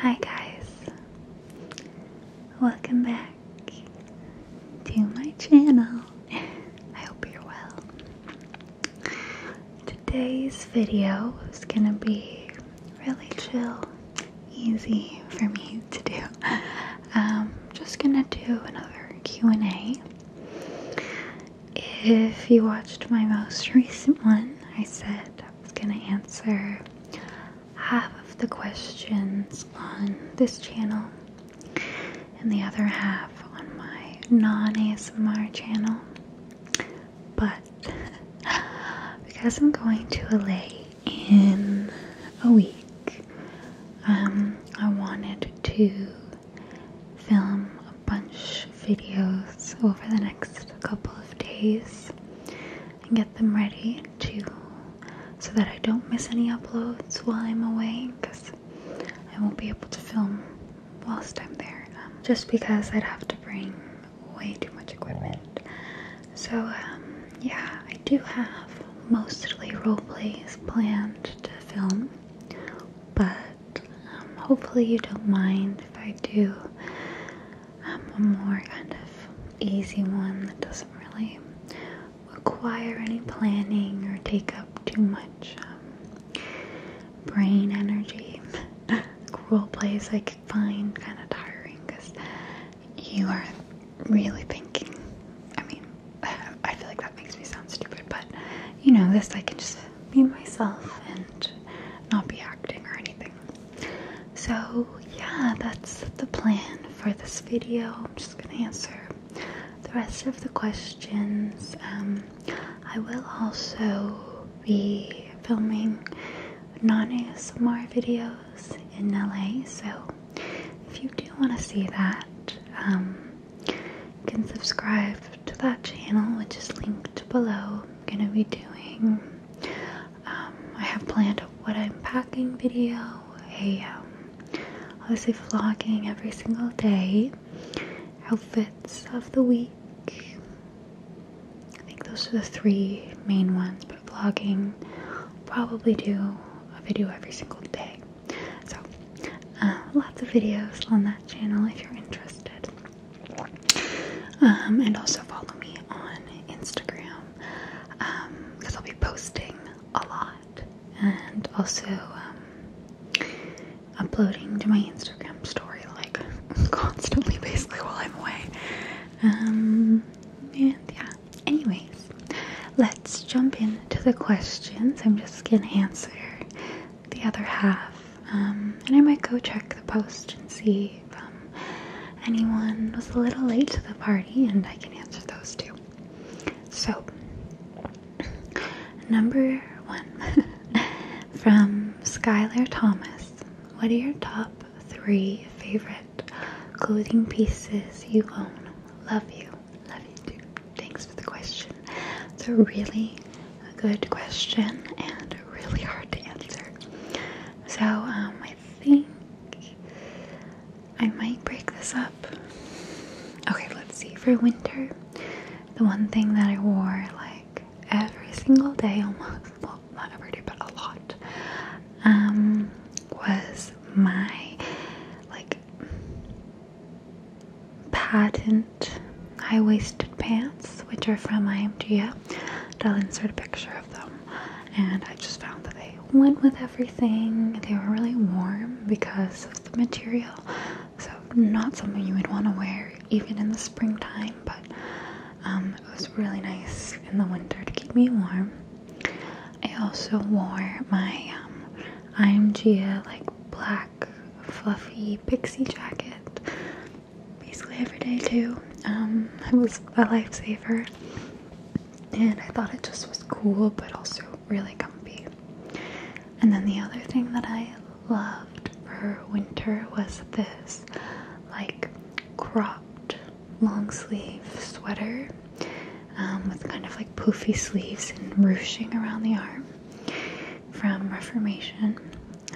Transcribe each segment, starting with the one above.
Hi, guys, welcome back to my channel. I hope you're well. Today's video is gonna be really chill, easy for me to do. Um, just gonna do another Q&A. If you watched my most recent one, I said I was gonna answer half of the questions on this channel and the other half on my non ASMR channel. But because I'm going to LA in a week, um, I wanted to film a bunch of videos over the next couple of days and get them ready too, so that I don't miss any uploads while I'm away because I won't be able to film whilst I'm there um, just because I'd have to bring way too much equipment. So, um, yeah, I do have mostly roleplays planned to film, but um, hopefully, you don't mind if I do um, a more kind of easy one that doesn't really require any planning or take up too much um, brain energy. Role plays I could find kind of tiring because you are really thinking. I mean, I feel like that makes me sound stupid, but you know, this I can just be myself and not be acting or anything so, yeah, that's the plan for this video. I'm just gonna answer the rest of the questions. Um, I will also be filming non ASMR videos in LA, so if you do want to see that, um, you can subscribe to that channel, which is linked below. I'm gonna be doing um, I have planned a what I'm packing video, a um, obviously vlogging every single day, outfits of the week. I think those are the three main ones, but vlogging probably do a video every single day. So, uh, lots of videos on that channel if you're interested. Um, and also follow me on Instagram because um, I'll be posting a lot and also um, uploading to my Instagram story like constantly, basically, while I'm away. and yeah, anyways, let's jump into the questions. I'm just gonna answer the other half, and I might go check the post and see from anyone was a little late to the party, and I can answer those too. So, number one from Skylar Thomas What are your top three favorite clothing pieces you own? Love you. Love you too. Thanks for the question. It's a really good question and really hard to answer. So, um, I I think I might break this up. Okay, let's see. For winter, the one thing that I wore like every single day almost, well, not every day, but a lot, um, was my like patent high waisted pants, which are from IMG. I'll insert a picture them, and I just found that they went with everything. They were really warm because of the material, so not something you would want to wear even in the springtime, but um, it was really nice in the winter to keep me warm. I also wore my um, like black fluffy pixie jacket basically every day too. Um, it was a lifesaver, and I thought it just was cool, but also really comfy. And then the other thing that I loved for winter was this, like cropped long sleeve sweater um, with kind of like poofy sleeves and ruching around the arm from Reformation.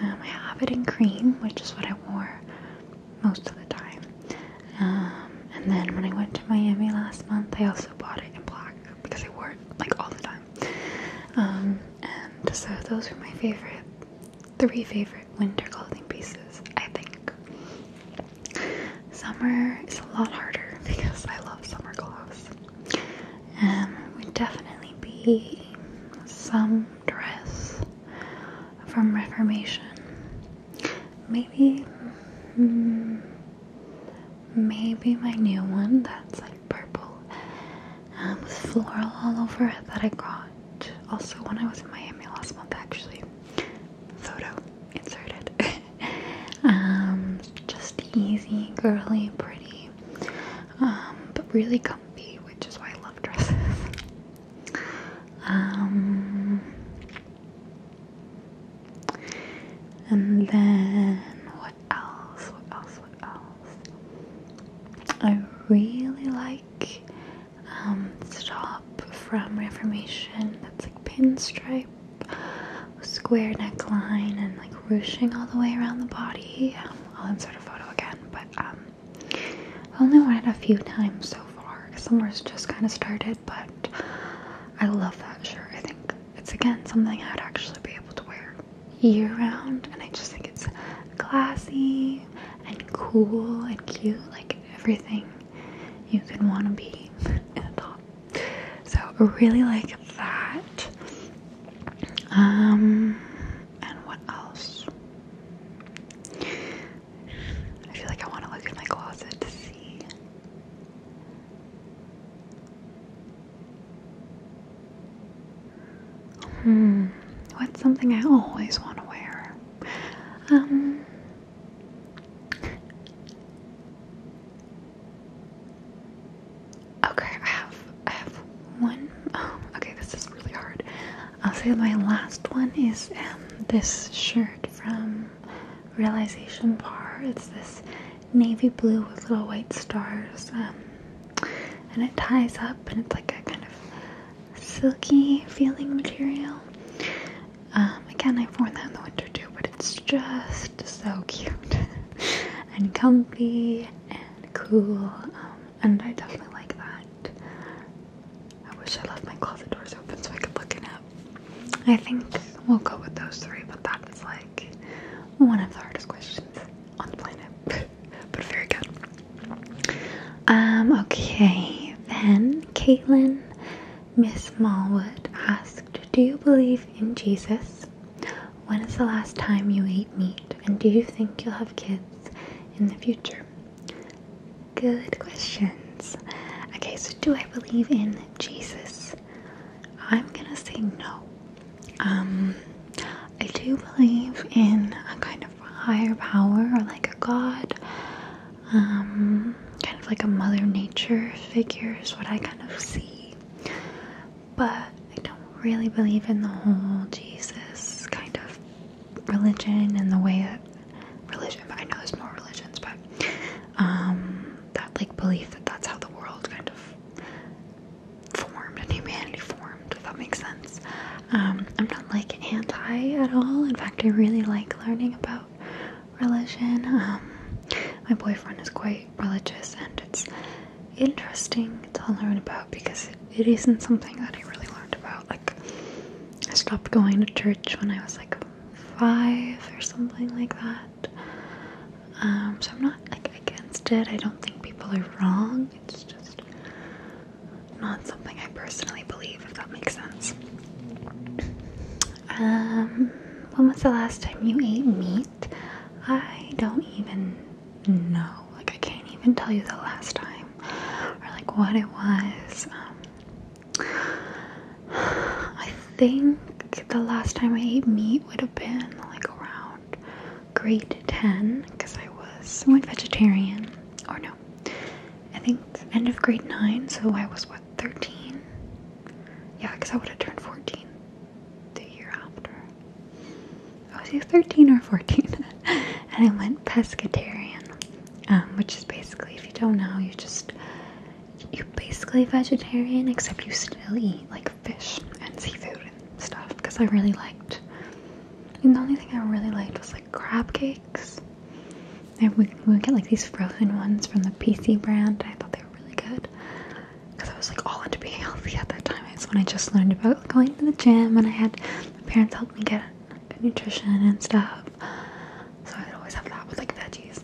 Um, I have it in cream, which is what I wore most of the time. Um, and then when I went to Miami last month, I also bought it in black because I wore it like all the time. Um, and so those were my favorite, three favorite winter clothing pieces, I think. Summer is a lot harder because I love summer clothes. and um, would definitely be some dress from Reformation. Maybe, mm, maybe my new one that's like purple um, with floral all over it that I got also when I was in Miami last month actually. Photo inserted. um, just easy, girly, pretty, um, but really comfy, which is why I love dresses. Um, and then what else? What else? What else? I really like um, Stop from Reformation. That's like pinstripe, square neckline, and like ruching all the way around the body. Um, I'll insert a photo again, but I only it a few times so far. Summer's just kind of started, but I love that shirt. I think it's again something I'd actually be able to wear year round, and I just think it's classy and cool and cute like everything you could want to be in a top. So, I really like that. Um, and what else? I feel like I want to look in my closet to see. Hmm, what's something I always want to wear? Um, okay, I have, I have one. Oh, okay, this is really hard. I'll say my last one is um, this shirt from Realization Bar. It's this navy blue with little white stars, um, and it ties up, and it's like a kind of silky feeling material. Um, again, I've worn that in the winter too, but it's just so cute and comfy and cool, and I definitely like that. I wish I left my closet doors open so I could look it up. I think we'll go with those three, but that was like one of the hardest questions on the planet. but very good. Um, okay, then Caitlin Miss Malwood asked, Do you believe in Jesus? When is the last time you ate meat? And do you think you'll have kids in the future? Good questions. Okay, so do I believe in Jesus? I'm gonna say no. Um, I do believe in a kind of higher power or like a god, um, kind of like a mother nature figure is what I kind of see, but I don't really believe in the whole Jesus kind of religion and the way that religion, But I know there's more religions, but um, that like belief that that's how the world kind of formed and humanity formed, if that makes sense. Um, I'm not like anti at all. In fact, I really like learning about religion. Um, my boyfriend is quite religious, and it's interesting to learn about because it isn't something that I really learned about like I stopped going to church when I was like five or something like that. Um, so I'm not like against it. I don't think people are wrong. It's just not something I personally believe, if that makes sense. Um, when was the last time you ate meat? I don't even know. Like I can't even tell you the last time or like what it was. Um, I think the last time I ate meat would have been like around grade 10 because I was went vegetarian or no. I think end of grade 9, so I was what 13. Yeah, because I would have turned 14 the year after. I was either 13 or 14 and I went pescatarian. Um, which is basically, if you don't know, you just you're basically vegetarian except you still eat like fish and seafood and stuff. Because I really liked, and the only thing I really liked was like crab cakes. And we, we would get like these frozen ones from the PC brand. I thought they were really good because I was like all into being healthy at that time. It's when I just learned about going to the gym and I had my parents help me get nutrition and stuff. So I'd always have that with like veggies.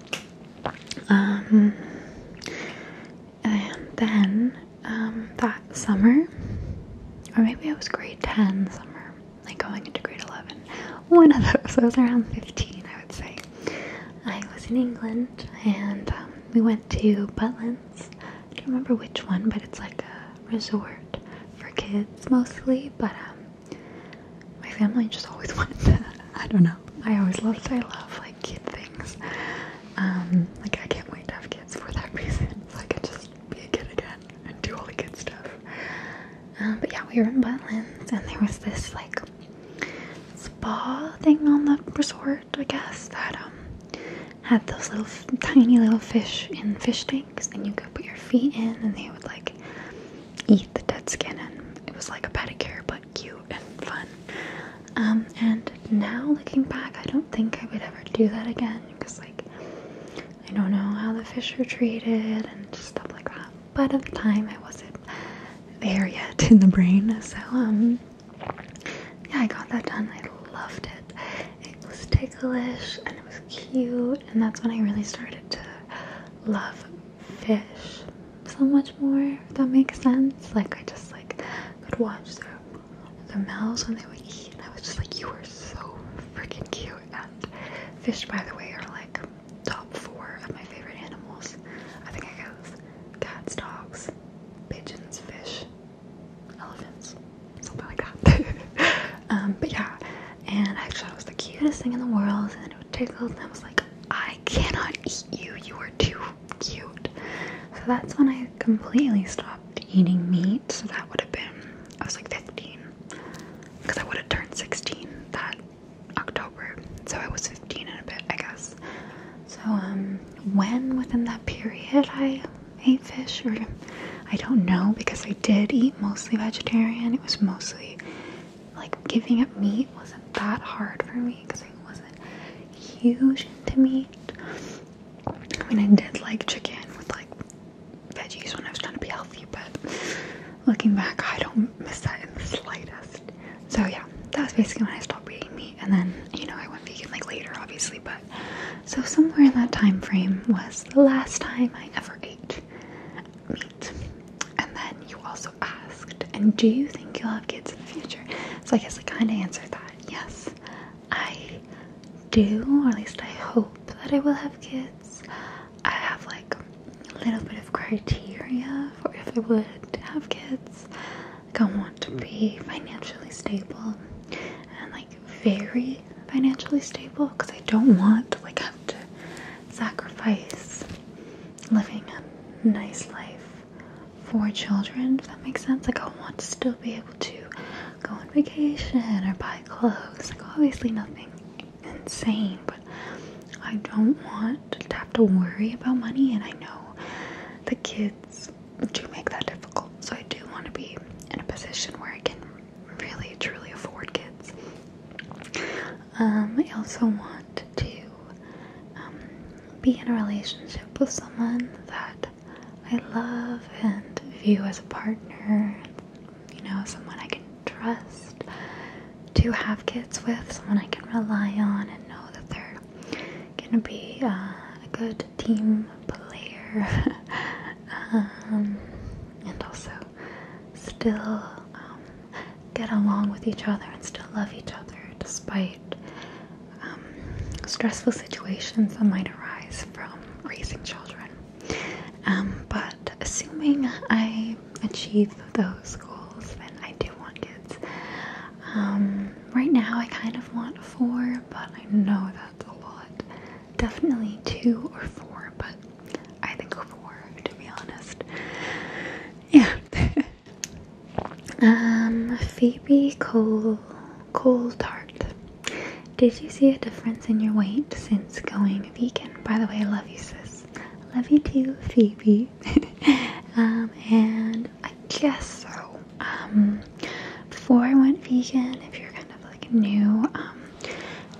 Um, and then um, that summer, or maybe it was grade 10 summer, like going into grade 11, one of those, I was around 15, I would say. I was in England and um, we went to Butlins. I don't remember which one, but it's like a resort for kids mostly, but um, my family just always wanted to, I don't know, I always loved, I love like kid things, um, like I can't wait to have kids for that reason, so I could just be a kid again and do all the kid stuff, um, but yeah, we were in Butlins, and there was this like spa thing on the resort, I guess, that, um, had those little, tiny little fish in fish tanks, and you could put your feet in, and they would like eat the dead skin, and it was like a pedicure, but cute and fun. Um, and now looking back, I don't think I would ever do that again because, like, I don't know how the fish were treated and stuff like that. But at the time, I wasn't there yet in the brain, so um, yeah, I got that done. I loved it. It was ticklish and it was cute, and that's when I really started to love fish so much more that makes sense like I just like could watch the their mouths when they would eat I was just like you are so freaking cute and fish by the way are like top four of my favorite animals I think I goes cats dogs pigeons fish elephants something like that Um, but yeah, and I thought it was the cutest thing in the world, and it would take a little. and I was like, I cannot eat you, you are too cute. So that's when I completely stopped eating meat. So that would have been, I was like 15, because I would have turned 16 that October. So I was 15 in a bit, I guess. So, um, when within that period I ate fish or I don't know because I did eat mostly vegetarian. It was mostly like giving up meat wasn't that hard for me because it wasn't huge to me. I mean, I did like chicken with like veggies when I was trying to be healthy, but looking back, I don't miss that in the slightest. So, yeah, that was basically when I stopped eating meat, and then you know, I went vegan like later, obviously, but so somewhere in that time frame was the last time I ever ate meat. And then you also asked, and do you think you'll have kids in the future? So I guess I kind of answered that. Yes, I do, or at least I hope that I will have kids. I have like a little bit of criteria for if I would have kids. Like I want to be financially stable and like very financially stable because I don't want to like have to sacrifice living a nice life for children, if that makes sense. Like, I want to still be able to go on vacation or buy clothes. Like, obviously, nothing insane, but I don't want to have to worry about money, and I know the kids do make that difficult. So, I do want to be in a position where I can really truly afford kids. Um, I also want to um, be in a relationship with someone that I love and view as a partner, you know, someone I can trust to have kids with, someone I can rely on and know that they're gonna be uh, a good team player. Um, and also still um, get along with each other and still love each other despite um, stressful situations that might arise from raising children. Um, but assuming I achieve those goals, and I do want kids. right now, I kind of want four, but I know that's a lot. Definitely two or four, but I think four, to be honest. Yeah. um, Phoebe Cole Cole Tart. Did you see a difference in your weight since going vegan? By the way, I love you, sis. Love you too, Phoebe. um, and I guess so. Um, before I went vegan, if you're kind of like new, um,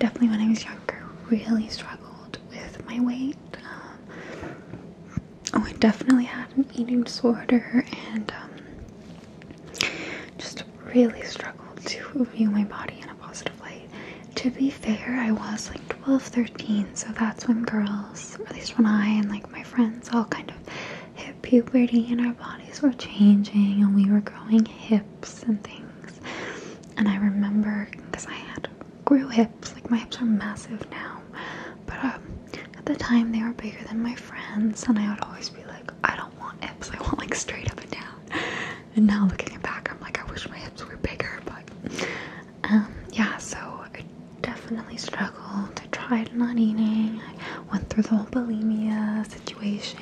definitely when I was younger, really struggled with my weight. Um, oh, I definitely had an eating disorder and um, just really struggled to view my body in a positive light. To be fair, I was like 12, 13, so that's when girls, or at least when I and like my friends all kind of hit puberty and our bodies were changing and we were growing hips and things. And I remember because I had grew hips, like my hips are massive now, but um, at the time they were bigger than my friends, and I would always be like, I don't want hips, I want like straight up and down. And now looking back, I'm like, I wish my hips were bigger, but um, yeah, so I definitely struggled. I tried not eating, I went through the whole bulimia situation.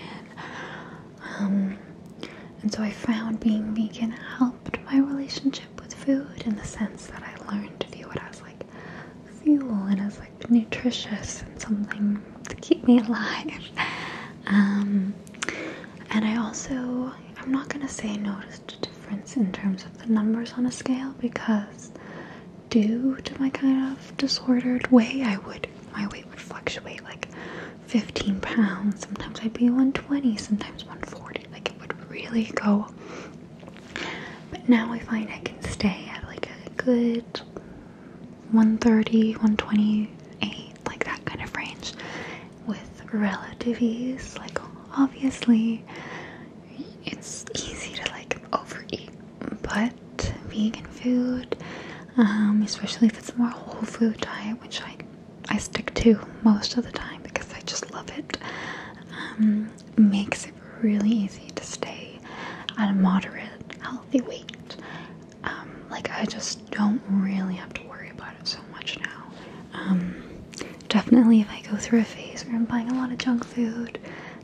Um, and so I found being vegan helped my relationship with food in the sense that I learned to view it as like fuel and as like nutritious and something to keep me alive. Um, and I also, I'm not gonna say noticed a difference in terms of the numbers on a scale because due to my kind of disordered way, I would, my weight would fluctuate like 15 pounds. Sometimes I'd be 120, sometimes 140. Like it would really go. But now I find I can stay at like a good 130, 128, like that kind of range with relative ease. Like obviously it's easy to like overeat, but vegan food, um, especially if it's more whole food diet, which I I stick to most of the time because I just love it. Um, makes it really easy to stay at a moderate, healthy weight. Um, like I just don't really have to worry about it so much now. Um, definitely, if I go through a phase where I'm buying a lot of junk food,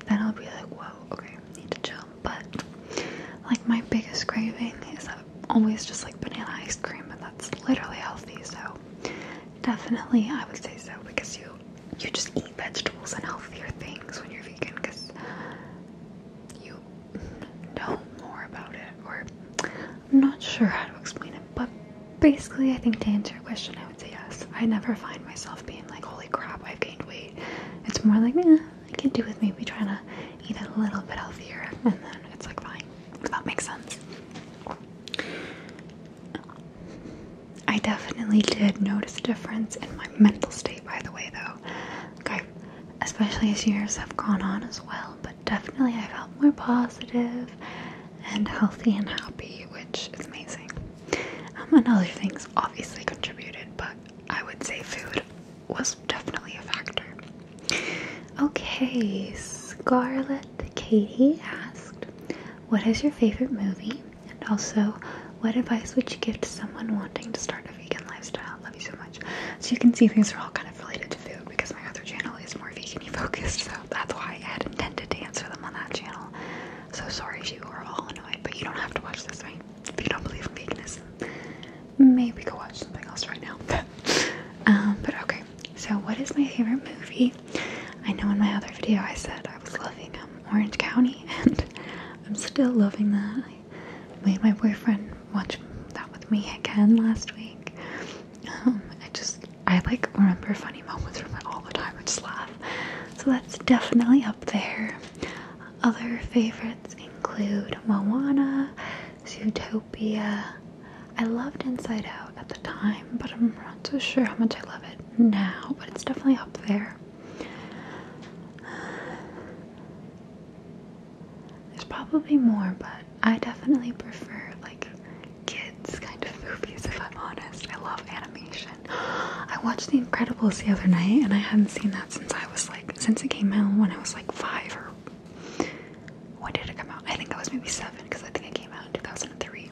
then I'll be like, whoa, okay, I need to chill. But like my biggest craving is uh, always just like banana ice cream, it's literally healthy. So definitely, I would say so because you you just eat vegetables and healthier things when you're vegan because you know more about it. Or I'm not sure how to explain it, but basically, I think to answer your question, I would say yes. I never find myself being like, holy crap, I've gained weight. It's more like, eh, I can do with maybe trying to eat a little bit healthier, and then it's like fine that makes sense. I definitely did notice a difference in my mental state, by the way, though. especially as years have gone on as well, but definitely I felt more positive and healthy and happy, which is amazing. Um, and other things obviously contributed, but I would say food was definitely a factor. Okay, Scarlet Katie asked, What is your favorite movie? And also, what advice would you give to someone wanting to start a vegan lifestyle? Love you so much. So, you can see things are all kind of related to food because my other channel is more vegan focused, so that's why I had intended to answer them on that channel. So, sorry if you are all annoyed, but you don't have to watch this, thing If you don't believe in veganism, maybe go watch something else right now. Um, but okay, so what is my favorite movie? I know in my other video I said I was loving um, Orange County, and I'm still loving that. I made my boyfriend watch that with me again last week. Um, I just, I like remember funny moments from it all the time. I just laugh. So that's definitely up there. Other favorites include Moana, Utopia. I loved Inside Out at the time, but I'm not so sure how much I love it now, but it's definitely up there. There's probably more, but I definitely prefer like kids kind of movies if I'm honest. I love animation. I watched The Incredibles the other night and I hadn't seen that since I was like since it came out when I was like five or when did it come out? I think I was maybe seven because I think it came out in 2003.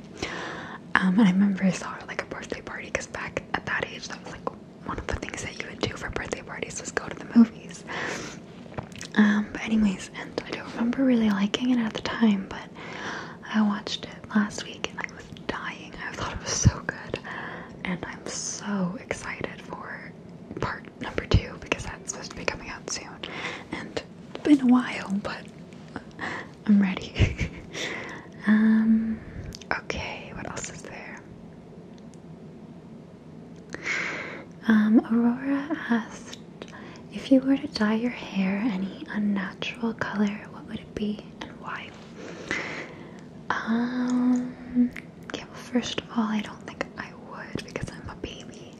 Um, and I remember I saw it like a birthday party because back at that age, that was like one of the things that you would do for birthday parties was go to the movies. Um, but anyways, and I don't remember really liking it at the time, but I watched it last week and I was dying. I thought it was so good, and I'm so excited for part number two because that's supposed to be coming out soon. And it's been a while, but I'm ready. um, okay, what else is there? Um, Aurora asked if you were to dye your hair any unnatural color, what would it be and why? Um, yeah, well, first of all, I don't think I would because I'm a baby.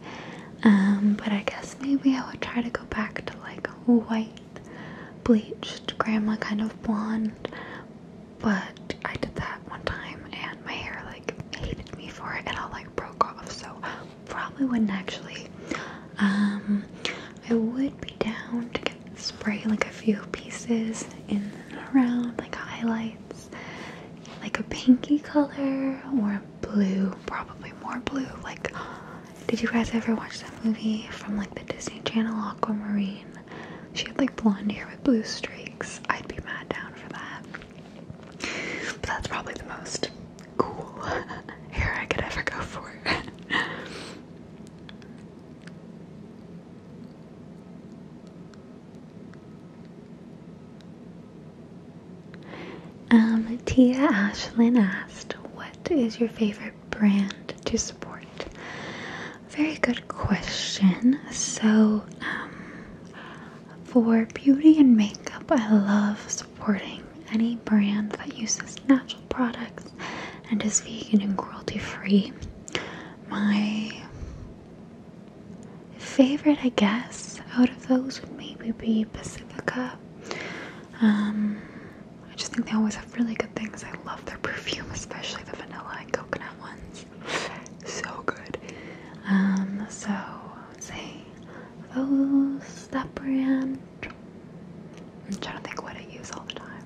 Um, but I guess maybe I would try to go back to like white, bleached, grandma kind of blonde. But I did that one time and my hair like hated me for it and I like broke off. So probably wouldn't actually. Um, I would be down to get spray like a few pieces in around like highlights like a pinky color or a blue, probably more blue. Like, did you guys ever watch that movie from like the Disney Channel, Aquamarine? She had like blonde hair with blue streaks. I'd be mad down for that. But that's probably the most cool hair I could ever go for. Um, Tia Ashlyn asked, What is your favorite brand to support? Very good question. So, um, for beauty and makeup, I love supporting any brand that uses natural products and is vegan and cruelty free. My favorite I guess out of those would maybe be Pacifica. Um, I just think they always have really good things. I love their perfume, especially the vanilla and coconut ones. So good. Um, so say those that brand. I'm trying to think what I use all the time.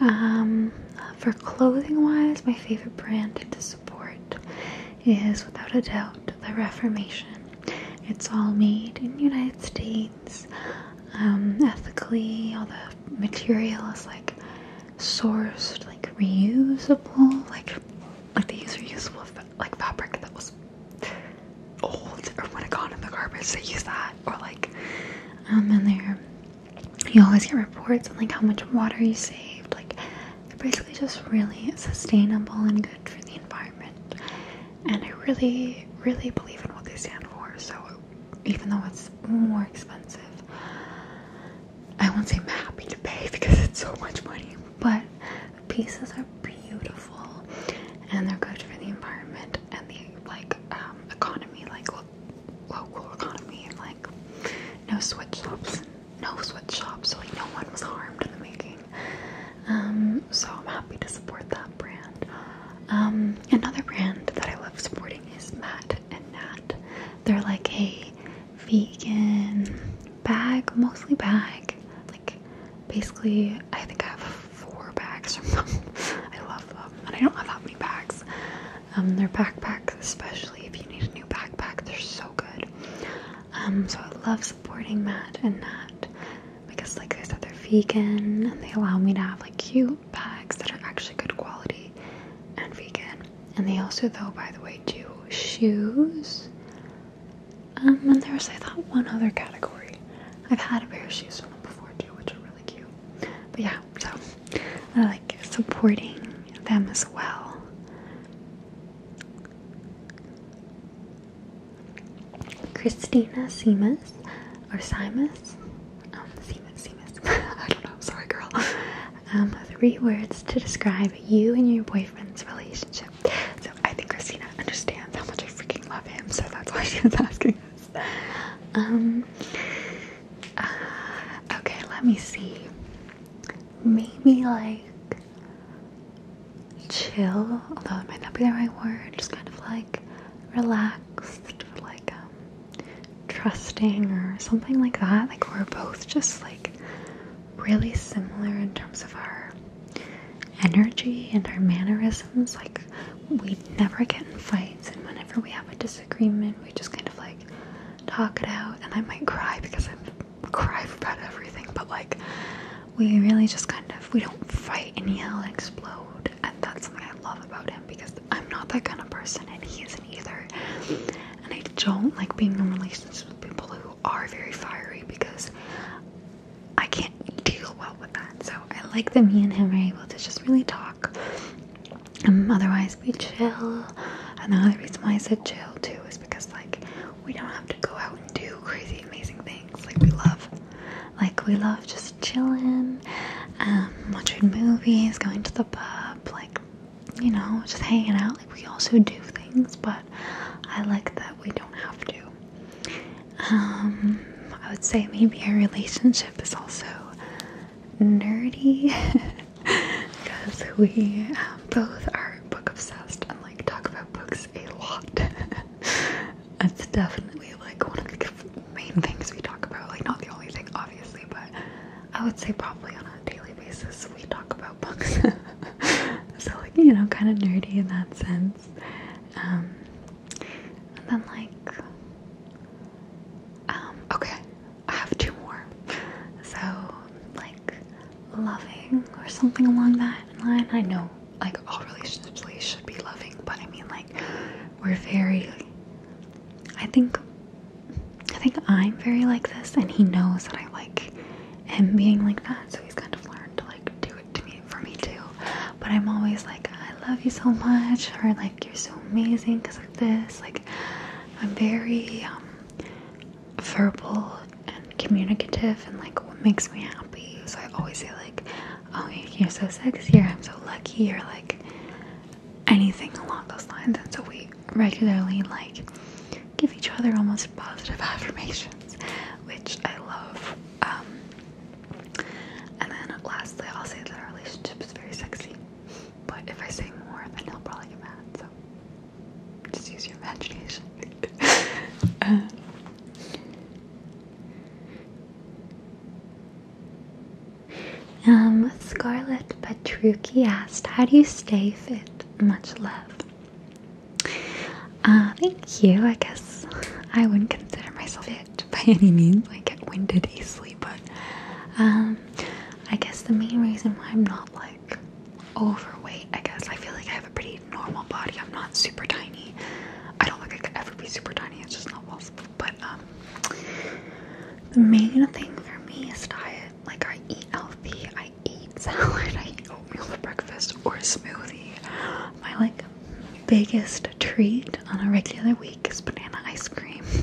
Um, for clothing wise, my favorite brand to support is without a doubt the Reformation. It's all made in United States, um, ethically, all the material is like sourced, like reusable, like like they use reusable like fabric that was old or when it got in the garbage, they use that or like um, and they're you always get reports on like how much water you saved, like they're basically just really sustainable and good for the environment. And I really, really believe in what they stand for. So even though it's more expensive, I won't say I'm happy to pay because it's so much money, but the pieces are beautiful and they're good for the environment and the like um, economy, like local economy, and like no sweatshops no sweatshop, so like no one was harmed in the making. Um, so I'm happy to support that brand. Um, another brand that I love supporting is Matt and Nat. They're like a vegan bag, mostly bag. Like basically, I think I have four bags from them. I love them, and I don't have that many bags. Um, their backpacks, especially if you need a new backpack, they're so good. Um, so I love supporting Matt and Nat because, like I said, they're vegan and they allow me to have like cute bags that are actually good quality and vegan. And they also, though, by the way, do shoes. Um, and there's I thought one other category. I've had a pair of shoes from them before too, which are really cute. But yeah, so I like supporting them as well. Christina Simas or Simas? Um, Simas, Simas. I don't know. Sorry, girl. Um, three words to describe you and your boyfriend's relationship. So I think Christina understands how much I freaking love him, so that's why she was asking us. Um. Uh, okay, let me see. Maybe like chill, although it might not be the right word, just kind of like relaxed, like um, trusting, or something like that. Like, we're both just like really similar in terms of our energy and our mannerisms. Like, we never get in fights, and whenever we have a disagreement, we just kind of like talk it out. And I might cry because I'm cry about everything, but like we really just kind of we don't fight and yell and explode, and that's something I love about him because I'm not that kind of person, and he isn't either. And I don't like being in relationships with people who are very fiery because I can't deal well with that. So I like that me and him are able to just really talk. Um, otherwise, we chill. And the other reason why I said chill too is because, like, we don't have to go out and do crazy amazing things. Like we love like we love just chilling, um, watching movies, going to the pub, like you know, just hanging out. Like we also do things, but I like that we don't have to. Um, I would say maybe our relationship is also nerdy because we um, both are book obsessed and like talk about books a lot. That's definitely like one of the main things we talk about. Like, not the only thing, obviously, but I would say probably on a daily basis we talk about books. so, like, you know, kind of nerdy in that sense. Um, and then, like, um, okay, I have two more. So, like, loving or something along that line. I know like all relationships really should be loving, but I mean like we're very I think I think I'm very like this and he knows that I like him being like that, so he's kind of learned to like do it to me for me too. But I'm always like I love you so much or like you're so amazing because of this. Like I'm very um, verbal and communicative and like what makes me happy. So I always say like, "Oh, you're so sexy," or "I'm so lucky," or like anything along those lines. And so we regularly like give each other almost positive affirmations, which I love. Um, and then lastly, I'll say that our relationship is very sexy. But if I say more, then he'll probably get mad. So just use your imagination. um, Scarlett Petrucci asked, How do you stay fit? Much love. Uh, thank you. I guess I wouldn't consider myself fit by any means. I get winded easily, but um, I guess the main reason why I'm not like overweight, I guess. I feel like I have a pretty normal body. I'm not super tiny. I don't think I could ever be super tiny. It's just not possible. But um, the main thing for me is diet. Like I eat healthy. I eat salad. I eat oatmeal for breakfast or a smoothie. My like biggest treat on a regular week is banana ice cream.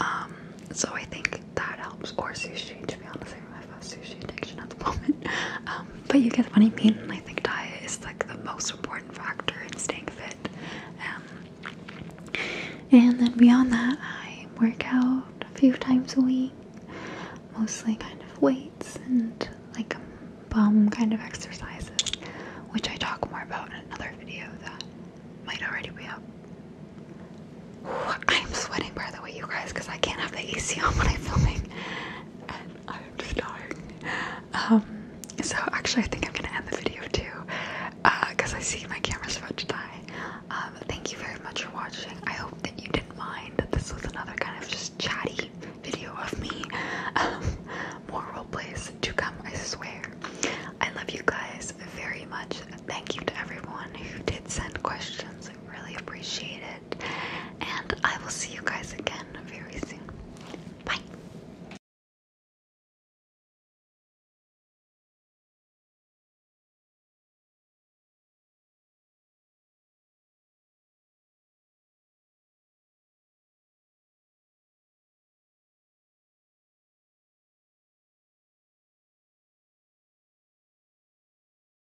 Um, so I think that helps. Or sushi. To be honest, I have a sushi addiction at the moment. Um, but you get what I mean. And I think diet is like the most important factor in staying fit. Um, and then beyond that, I work out a few times a week, mostly kind of weights and like bum kind of exercises, which I talk more about in another video that might already be up. I am sweating, bro by the way, you guys, because I can't have the AC on when I'm filming, and I'm just dying. Um, so actually, I think I'm gonna end the video too, because uh, I see my camera's about to die. Um, thank you very much for watching. I hope that you didn't mind that this was another kind of just chatty video of me. Um, more role plays to come, I swear. I love you guys very much. Thank you to everyone who did send questions. I really appreciate it. And I will see you guys again very soon. Bye.